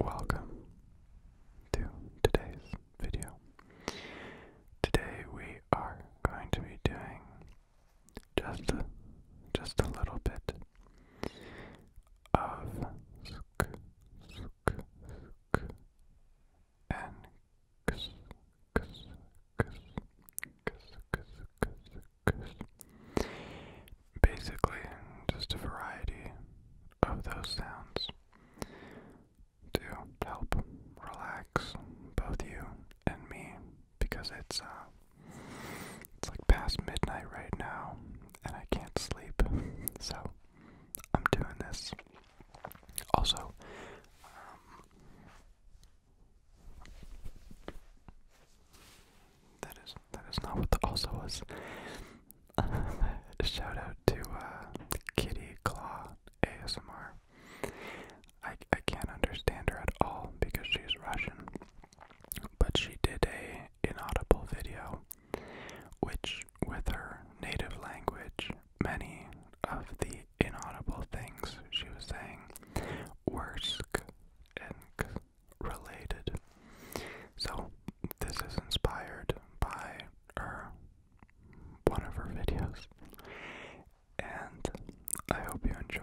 Welcome to today's video. Today we are going to be doing just just a little bit of sk, sk, sk, and ks, ks, ks, ks, ks, ks, Cause basically, just a variety of those sounds to help relax both you and me because it's uh, it's like past midnight right now and I can't sleep so I'm doing this also um, that is that is not what the also was. Shout out to uh, Kitty Claw ASMR. I I can't understand her at all because she's Russian, but she did a inaudible video, which with her native language, many of the inaudible things she was saying, worsk related. So, this is inspired by her, one of her videos, and I hope you enjoy.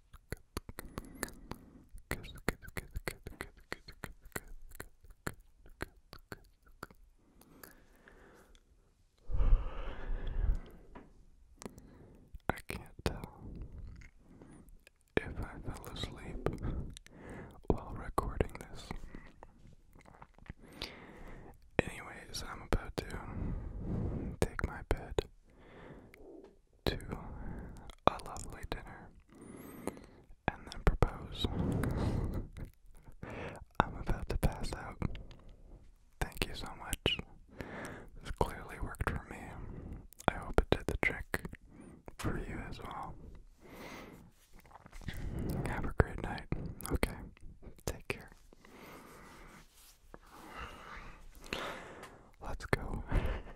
I can't tell if I fell asleep while recording this. Anyways, I'm about to take my bed to a lovely dinner and then propose. I'm about to pass out. Thank you so much. This clearly worked for me. I hope it did the trick for you as well. Have a great night. Okay. Take care. Let's go.